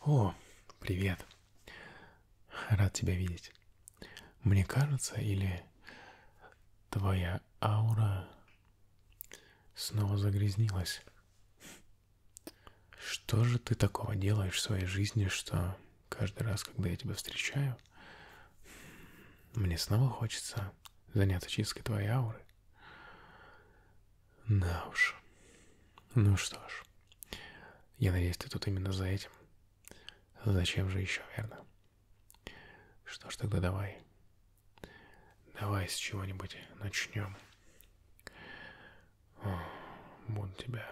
О, привет. Рад тебя видеть. Мне кажется, или твоя аура снова загрязнилась? Что же ты такого делаешь в своей жизни, что каждый раз, когда я тебя встречаю, мне снова хочется заняться чисткой твоей ауры. Да уж. Ну что ж. Я надеюсь, ты тут именно за этим. Зачем же еще, верно? Что ж, тогда давай. Давай с чего-нибудь начнем. О, буду тебя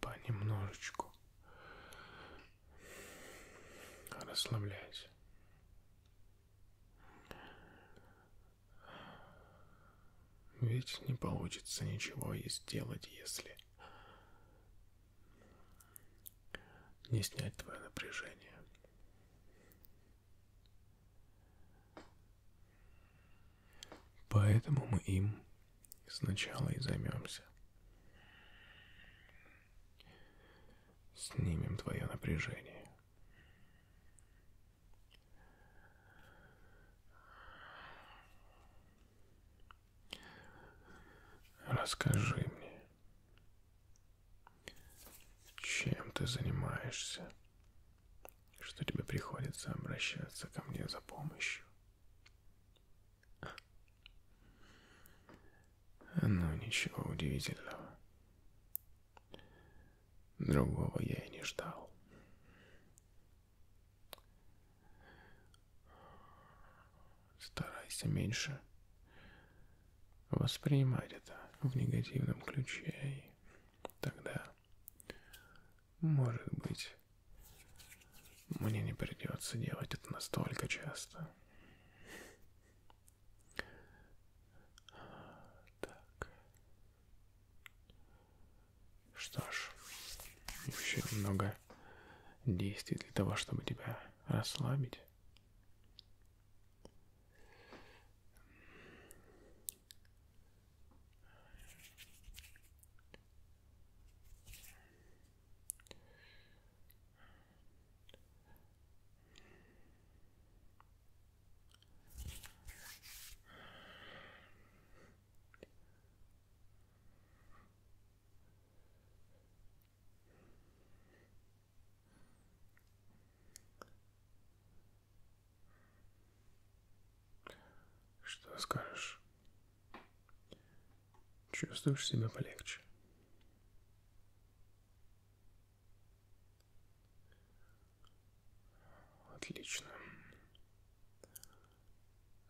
понемножечку Расслабляйся. Ведь не получится ничего и сделать, если не снять твое напряжение. Поэтому мы им сначала и займемся. Снимем твое напряжение. Расскажи мне, чем ты занимаешься, что тебе приходится обращаться ко мне за помощью. Но ну, ничего удивительного. Другого я и не ждал. Старайся меньше воспринимать это в негативном ключе, и тогда, может быть, мне не придется делать это настолько часто. Так. Что ж, еще много действий для того, чтобы тебя расслабить. Что скажешь? Чувствуешь себя полегче? Отлично.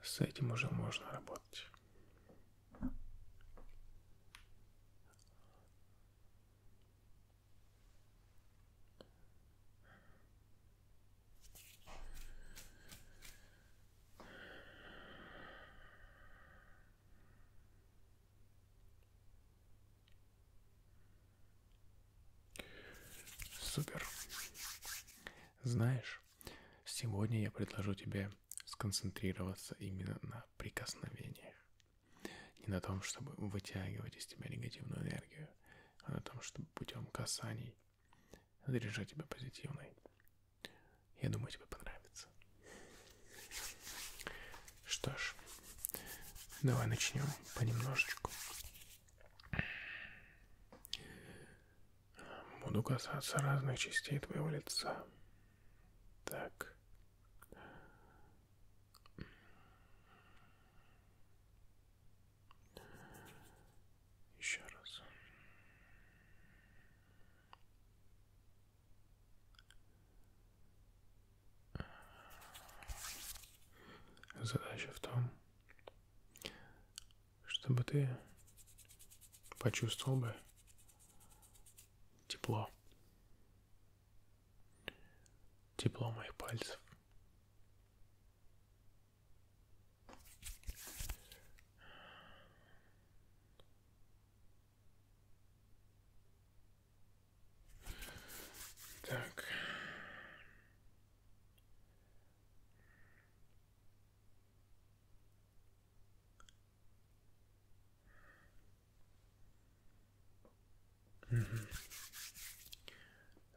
С этим уже можно работать. Супер. Знаешь, сегодня я предложу тебе сконцентрироваться именно на прикосновениях. Не на том, чтобы вытягивать из тебя негативную энергию, а на том, чтобы путем касаний заряжать тебя позитивной. Я думаю, тебе понравится. Что ж, давай начнем понемножечку. Буду касаться разных частей твоего лица. Так. Еще раз. Задача в том, чтобы ты почувствовал бы тепло. Тепло моих пальцев. Так. Угу.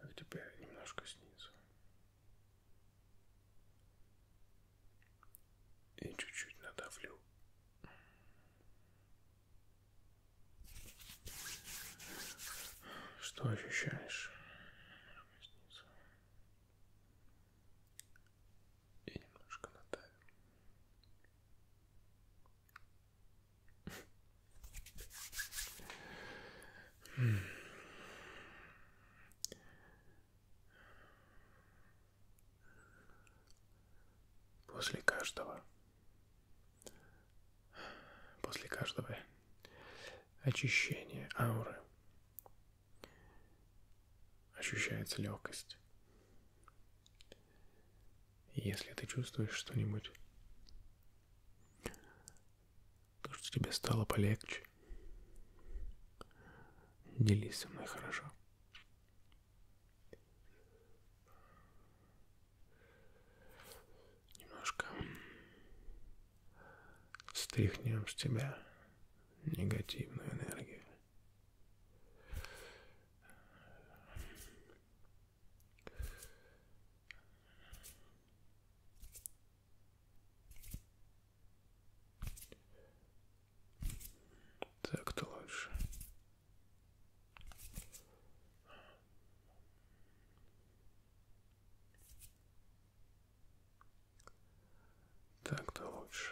Так, теперь немножко снизу. И чуть-чуть надавлю. Что ощущаешь? Снизу. И немножко надавим. После каждого, после каждого очищения ауры ощущается легкость. Если ты чувствуешь что-нибудь, Кажется, тебе стало полегче. Делись со мной хорошо. Немножко стряхнем с тебя негативную энергию. Так-то лучше. Так-то лучше.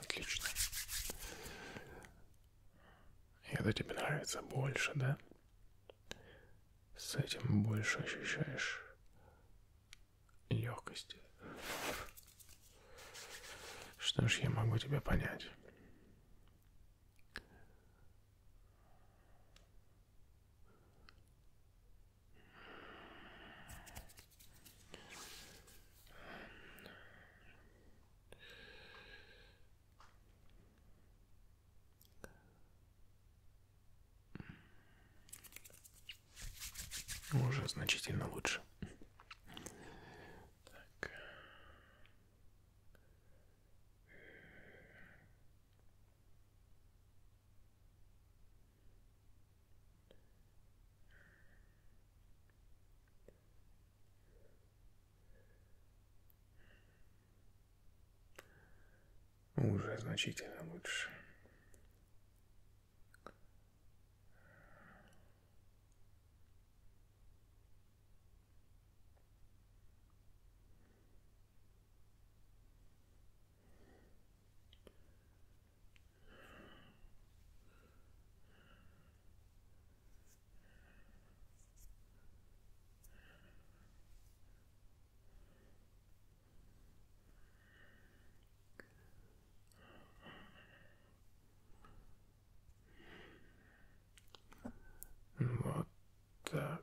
Отлично. Это тебе нравится больше, да? С этим больше ощущаешь легкости. Что ж, я могу тебя понять. Уже значительно лучше. Так. Уже значительно лучше. Вот так.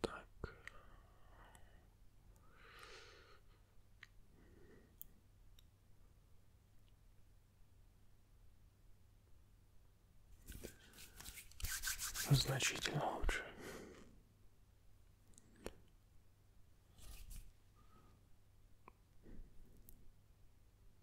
Так. Значительно лучше.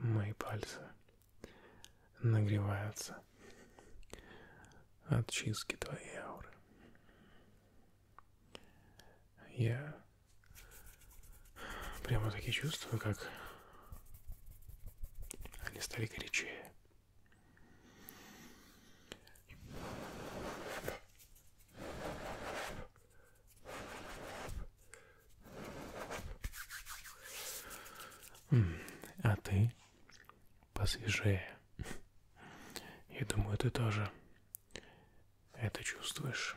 Мои пальцы нагреваются от чистки твоей ауры. Я прямо таки чувствую, как они стали горячее. А ты посвежее. Я думаю, ты тоже это чувствуешь.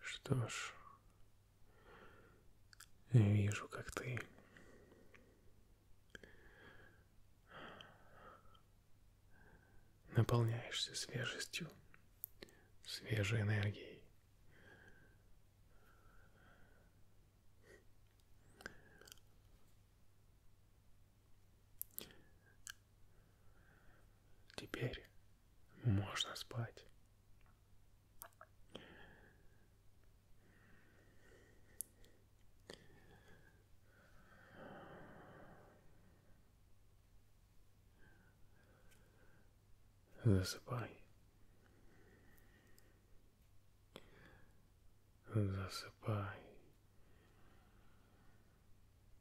Что ж, вижу, как ты наполняешься свежестью, свежей энергией. Теперь можно спать. Засыпай. Засыпай.